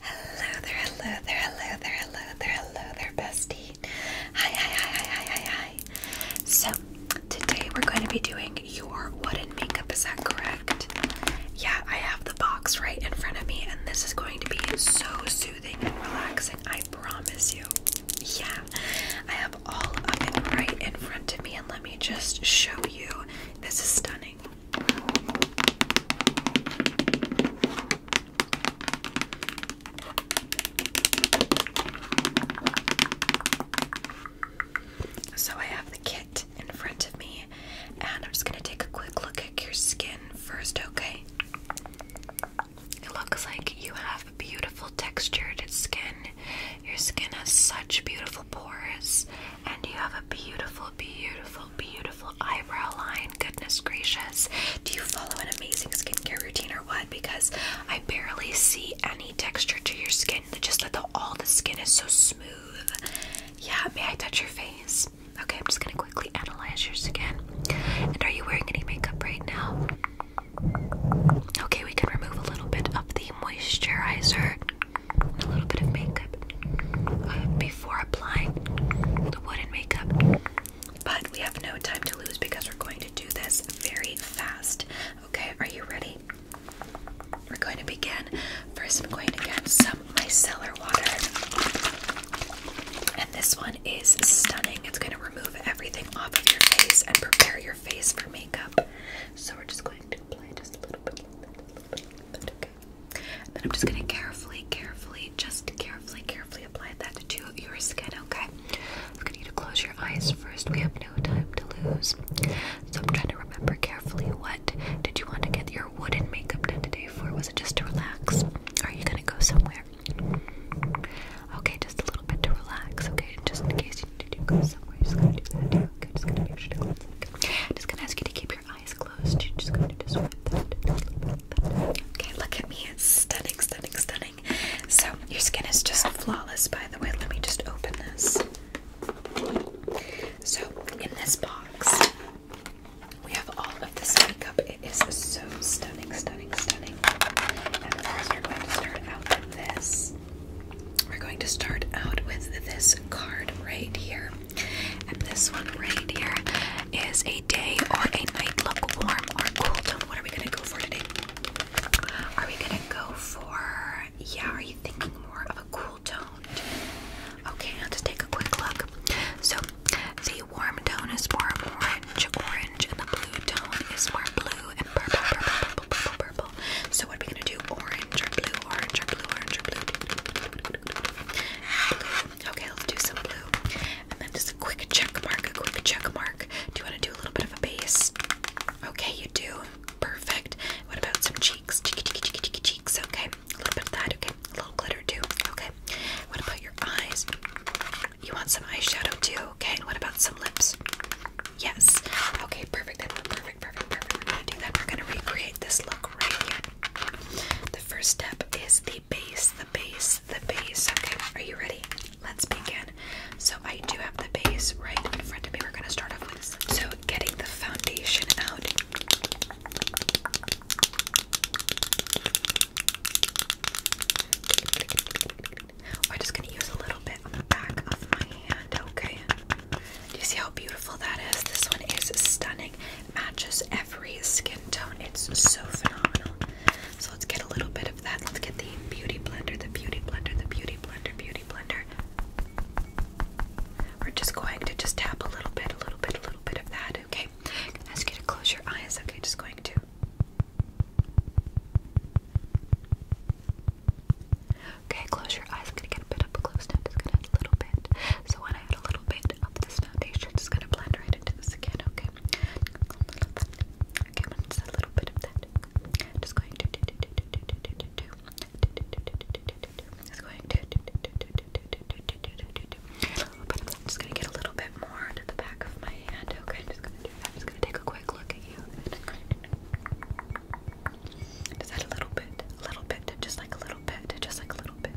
Hello there, hello there, hello there, hello there, hello there, bestie. Hi, hi, hi, hi, hi, hi, So, today we're going to be doing your wooden makeup, is that correct? Yeah, I have the box right in front of me, and this is going to be so soothing and relaxing, I promise you. Yeah, I have all of it right in front of me, and let me just show you. This is stunning. So I have the kit in front of me, and I'm just gonna take a quick look at your skin first, okay? It looks like you have beautiful textured skin. Your skin has such beautiful pores, and you have a beautiful, beautiful beautiful eyebrow line. Goodness gracious. Do you follow an amazing skincare routine or what? Because I barely see any texture to your skin. Just that all the skin is so smooth. Yeah, may I touch your face? Okay, I'm just gonna quickly analyze yours again. And are you wearing any makeup right now? Okay, we can remove a little bit of the moisturizer a little bit of makeup uh, before applying the wooden makeup. But we have no time to lose because we're going to do this very fast. Okay, are you ready? We're going to begin. First, I'm going to get some micellar water. And this one is stunning. It's going to remove everything off of your face and prepare your face for makeup. So, we're just going to apply just a little bit then I'm just gonna carefully, carefully, just carefully, carefully apply that to your skin, okay? I'm gonna need to close your eyes first. We have no time to lose. So I'm trying to remember carefully what did you want to get your wooden makeup done today for? Was it just to relax? are you gonna go somewhere? Okay, just a little bit to relax, okay? Just in case you need to go somewhere, you're just gonna do that Okay, just gonna make sure to just gonna ask you to keep your Okay, look at me. It's stunning, stunning, stunning. So, your skin is just flawless, by the way. Let me just open this. So, in this box, we have all of this makeup. It is so stunning, stunning, stunning. And first, we're going to start out with this. We're going to start out with this card right here. And this one right here is a day or a night look warm or cool tone. What are we gonna go for today? Are we gonna go for yeah, are you thinking more of a cool tone? Okay, I'll just take a quick look. So the warm tone is more orange, orange, and the blue tone is more blue and purple, purple, purple, purple, purple. So what are we gonna do? Orange orange blue, orange or blue, orange or blue. Okay, let's do some blue. And then just a quick check mark, a quick check mark. Do you want to do a little bit of a base? Okay, you do. Perfect. What about some cheeks? Cheeky, cheeky, cheeky, cheeky, cheeks. Okay, a little bit of that. Okay, a little glitter too. Okay. What about your eyes? You want some eyeshadow too. Okay, and what about some lips? Yes. Okay, perfect. Then perfect, perfect, perfect. We're gonna do that. We're gonna recreate this look right here. The first step is the base, the base, the base. Okay, are you ready? Let's begin. So, I do have the base right in front of me. We're going to start off with so getting the foundation out. We're just going to use a little bit on the back of my hand, okay? Do you see how beautiful that is? This one is stunning matches every skin tone. It's so phenomenal. So let's get a little bit of that. Let's get the beauty blender, the beauty blender, the beauty blender, beauty blender. We're just going to just tap a little bit, a little bit, a little bit of that, okay? I'm gonna ask you to close your eyes, okay? Just going to Okay, close your eyes. I'm gonna get a bit up close now. Just gonna a little bit. So when add a little bit of this foundation. It's gonna blend right into this again, okay? Okay, I'm just a little bit of that. just going Just going just gonna get a little bit more to the back of my hand, okay? just gonna take a quick look at you. Just add a little bit, a little bit, just like a little bit, just like a little bit.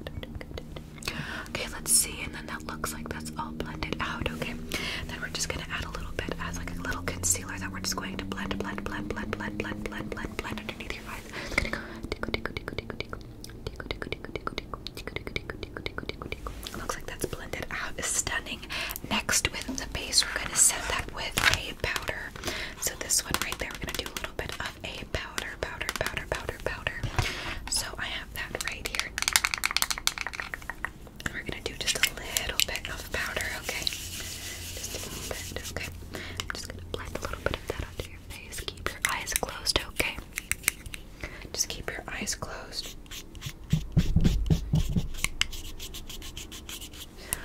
Okay, let's see, and then that looks like that's all blended out, okay? Then we're just gonna add a little bit as like a little concealer that we're just going to blend, blend, blend, blend, blend, blend, blend, blend, blend underneath your eyes. It's gonna go tickle, tickle, tickle, tickle, tickle, tickle, tickle, tickle, tickle, tickle, tickle, tickle, tickle, tickle, tickle, tickle. Looks like that's blended out. It's stunning. Next, with the base, we're gonna set that with a powder. So this one right there, we're gonna do a little bit of a powder, powder, powder, powder, powder. So I have that right here. We're gonna do just a little bit of powder, okay? Just a little bit, just gonna blend a little bit of that onto your face. Keep your eyes closed, okay? Just keep your eyes closed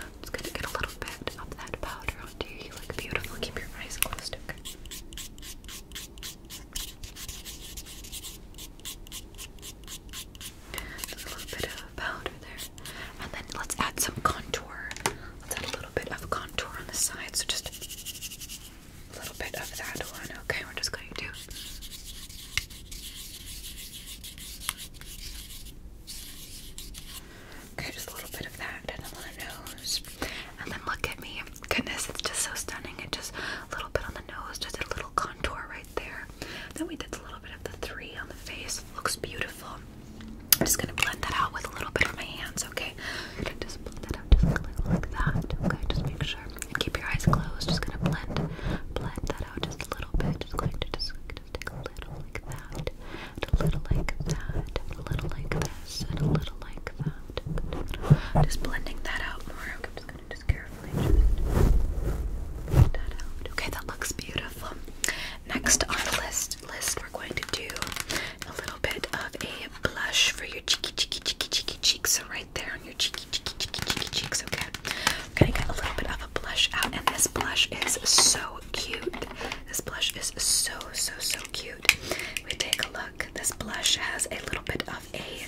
i gonna get a little bit of that powder onto you. You look beautiful. Keep your eyes closed, okay? a little bit of powder there. And then let's add some contour. Let's add a little bit of contour on the side. So just a little bit of that one, okay? We're just going to. Okay, just a little bit of that and on the nose. And then look at me. Goodness, it's just so stunning. It just a little bit on the nose, just a little contour right there. Then we did a little bit of the three on the face. Looks beautiful. I'm just gonna blend that out with a little bit of my hands, okay? gonna Just blend that out, just like that. Okay, just make sure. Keep your eyes closed. Just gonna blend, blend that out just a little bit. Just going to just a little like that, a little like that, a little like this, a little like that. Just blending that out more. I'm just gonna just carefully just that out. Okay, that looks beautiful. Next on the list, list we're going to do a little bit of a blush for your cheeky, cheeky, cheeky, cheeky cheeks. So right there on your cheeky, cheeky, cheeky, cheeky cheeks. Okay, I'm gonna get a little bit of a blush out, and this blush is so cute. This blush is so, so, so cute. We take a look. This blush has a little bit of a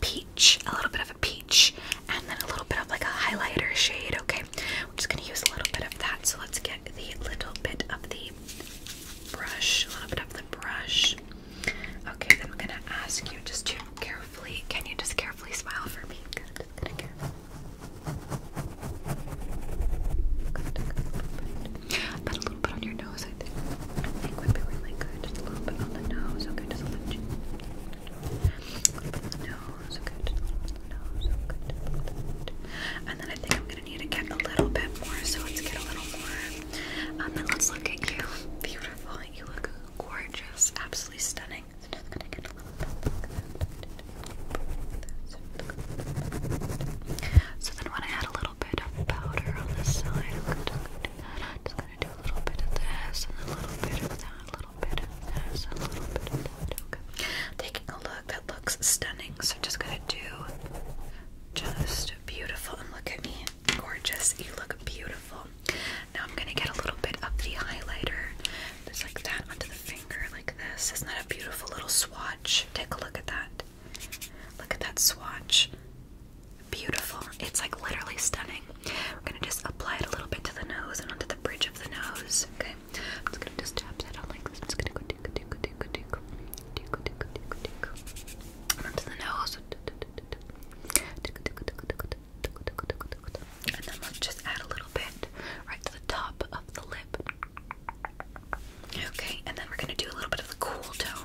peach, a little bit of a peach, and then a little bit of like a highlighter shade. Okay, we're just gonna use a little bit of that. So let's get the little bit of the brush, a little bit of the brush. Okay, then I'm gonna ask you just to carefully. Can you just carefully smile for me? Put a little bit on your nose, I think. I think would be really good. a little bit on the nose, okay? Just a little bit. A little bit on the nose, okay? And then I think I'm gonna need to get a little bit more, so let's get a little more. Um, then let's look at you. Beautiful. You look gorgeous. Absolutely stunning. just gonna get a little so then when I had a little bit of powder on the side, I'm going to do that. I'm just going to do a little bit of this, and a little bit of that, a little bit of this, and a little bit of that. Okay. Taking a look, that looks stunning. So I'm just going to do just beautiful. And look at me, gorgeous. You look beautiful. Now I'm going to get a little bit of the highlighter just like that onto the finger, like this. Isn't that a beautiful little swatch? Take a look at that. Look at that swatch. Beautiful. It's like literally stunning. We're gonna just apply it a little bit to the nose and onto the bridge of the nose. Okay. I'm just gonna just tap that out like this. I'm just gonna go tickle, tickle, tickle, tickle, tickle, tickle, tickle, tickle, and onto the nose. Tickle, tickle, tickle, tickle, tickle, tickle, tickle, tickle, and then let's just add a little bit right to the top of the lip. Okay, and then we're gonna do a little bit of the cool tone.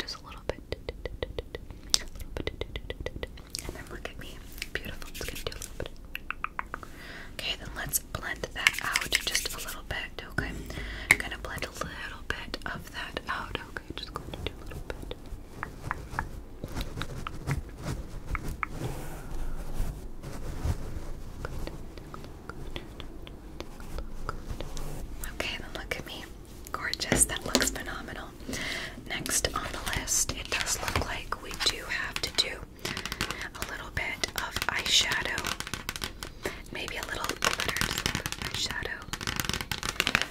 just a little bit, and then look at me. Beautiful. Okay, then let's blend that out just a little bit. Okay, I'm gonna blend a little bit of that out. Okay, just going to do a little bit. Okay, look at me. Gorgeous, that looks phenomenal. Next on the list, it does look like we do have to do a little bit of eyeshadow. Maybe a little glitter eyeshadow.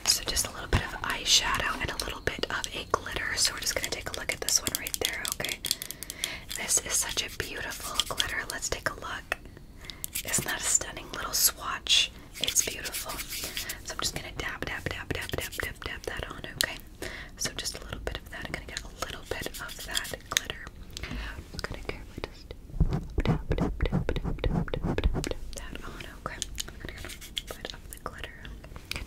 So just a little bit of eyeshadow and a little bit of a glitter. So we're just gonna take a look at this one right there, okay? This is such a beautiful glitter. Let's take a look. Isn't that a stunning little swatch? It's beautiful. So I'm just gonna dab, dab, dab, dab, dab, dab, dab that on, okay? So just a little bit of that. I'm gonna get a little bit of that glitter. I'm gonna just dab, dab, dab, dab, dab, dab, dab, that on, okay? I'm gonna put up the glitter. And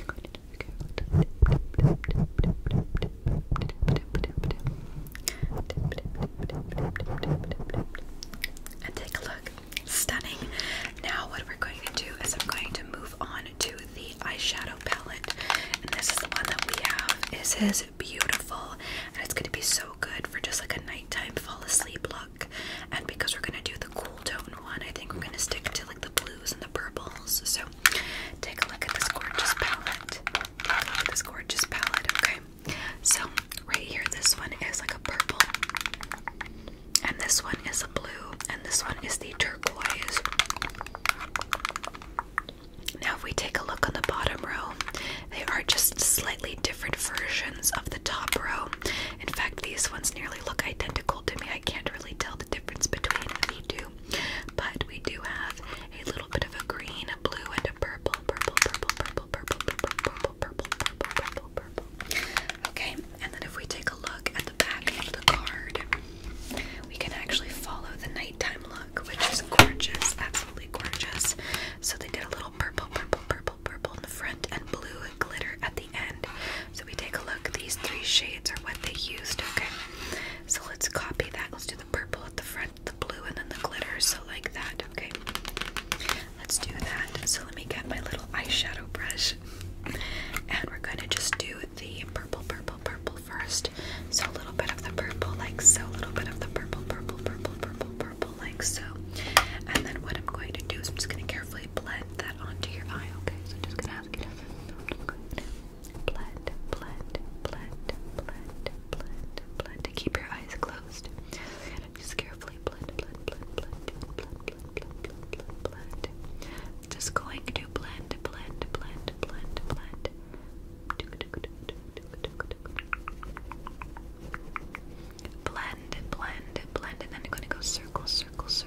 take a look. Stunning. Now, what we're going to do is I'm going to move on to the eyeshadow palette. And this is the one that we have. Is his beautiful. And it's going to be so good for just like a nighttime fall asleep look. And because we're going to do the cool tone one, I think we're going to stick to like the blue and the purples. So take a look at this gorgeous palette. Take a look at this gorgeous palette, okay? So right here, this one is like a purple, and this one is a blue, and this one is the turquoise. Now, if we take a look on the bottom row, they are just slightly different versions of the top row. In fact, these ones nearly look identical to me. I can't really tell the difference between the two. But we do have a little bit of a green, a blue, and a purple, purple, purple, purple, purple, purple, purple, purple, purple, purple, purple. Okay, and then if we take a look at the back of the card, we can actually follow the nighttime look, which is gorgeous, absolutely gorgeous. So they did a little purple, purple, purple, purple in the front, and blue glitter at the end. So we take a look. These three shades are what they used. Okay, so let's copy that. Let's do the purple at the front, the blue, and then the glitter. So like that. Okay. Let's do that. So let me get my little eyeshadow brush. And we're going to just do the purple, purple, purple first. So a little bit of the purple, like so. A little bit of the purple, purple, purple, purple, purple, like so. And then what I'm going to do is I'm just going to carefully blend that onto your eye, okay? So I'm just going to ask you blend, blend, blend, blend, blend, blend. Keep your eyes closed. Just carefully blend, blend, blend, blend, blend, blend, blend, blend, blend. Just going to blend, blend, blend, blend, blend. Blend, blend, blend, and then I'm going to go circle, circle, circle,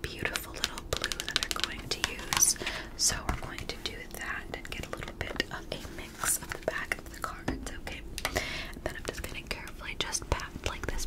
beautiful little blue that they're going to use. So we're going to do that and get a little bit of a mix of the back of the cards, okay? And then I'm just going to carefully just pat like this.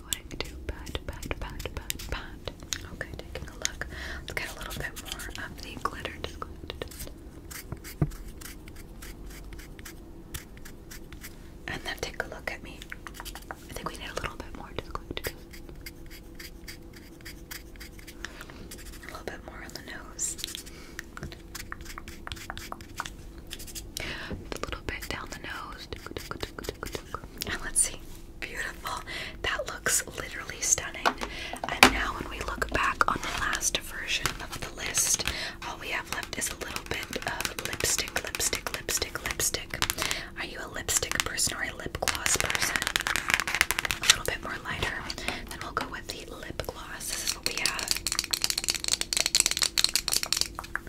Okay, Let's get a little bit more of the glitter. And then take a look at me. I think we need a little bit more. Just a little bit more on the nose. A little bit down the nose. And let's see. Beautiful. That looks literally stunning. And now, when we look back on the last version of the list, all we have left is a little bit of lipstick, lipstick, lipstick, lipstick. Are you a lipstick person or a lip gloss person? A little bit more lighter. Then we'll go with the lip gloss. This is what we have.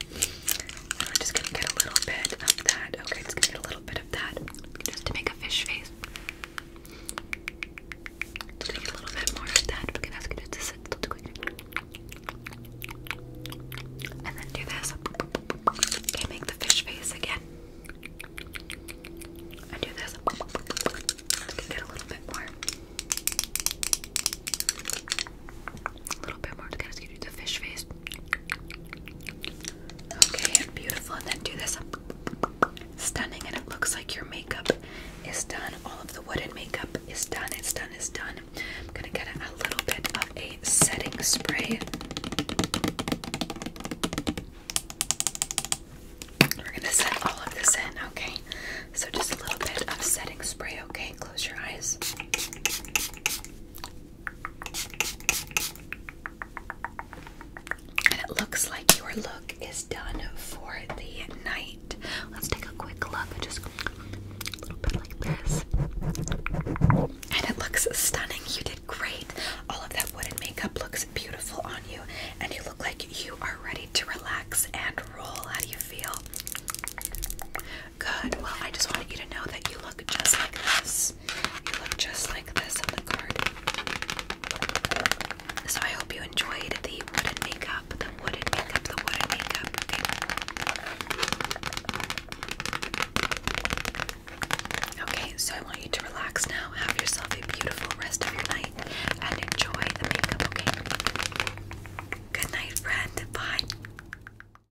I'm just gonna get a little bit of that. Okay, just gonna get a little bit of that just to make a fish face. Just get a little bit more of that. We're gonna ask you just to quick. And then do this. Okay, make the fish face again. And do this. get a little bit more. A little bit more to kind of do the fish face. Okay, beautiful. And then do this. Stunning, and it looks like your makeup is done. All of the wooden makeup is done. It's done, it's done. I'm gonna get a little bit of a setting spray. We're gonna set all of this in, okay? So just a little bit of setting spray, okay? Close your eyes. And it looks like your look is done for the night. Let's take a quick look. Just a little bit like this. And it looks stunning. You did great. All of that wooden makeup looks beautiful on you. And you look like you are ready to relax and roll. How do you feel? Good. Well, I just wanted you to know that you look just like this. You look just like this on the card. So I hope you enjoyed the wooden makeup, the wooden makeup, the wooden makeup. Okay. Okay. So I want you to relax now. Have yourself a beautiful rest of your night and enjoy the makeup. Okay. Good night, friend. Bye.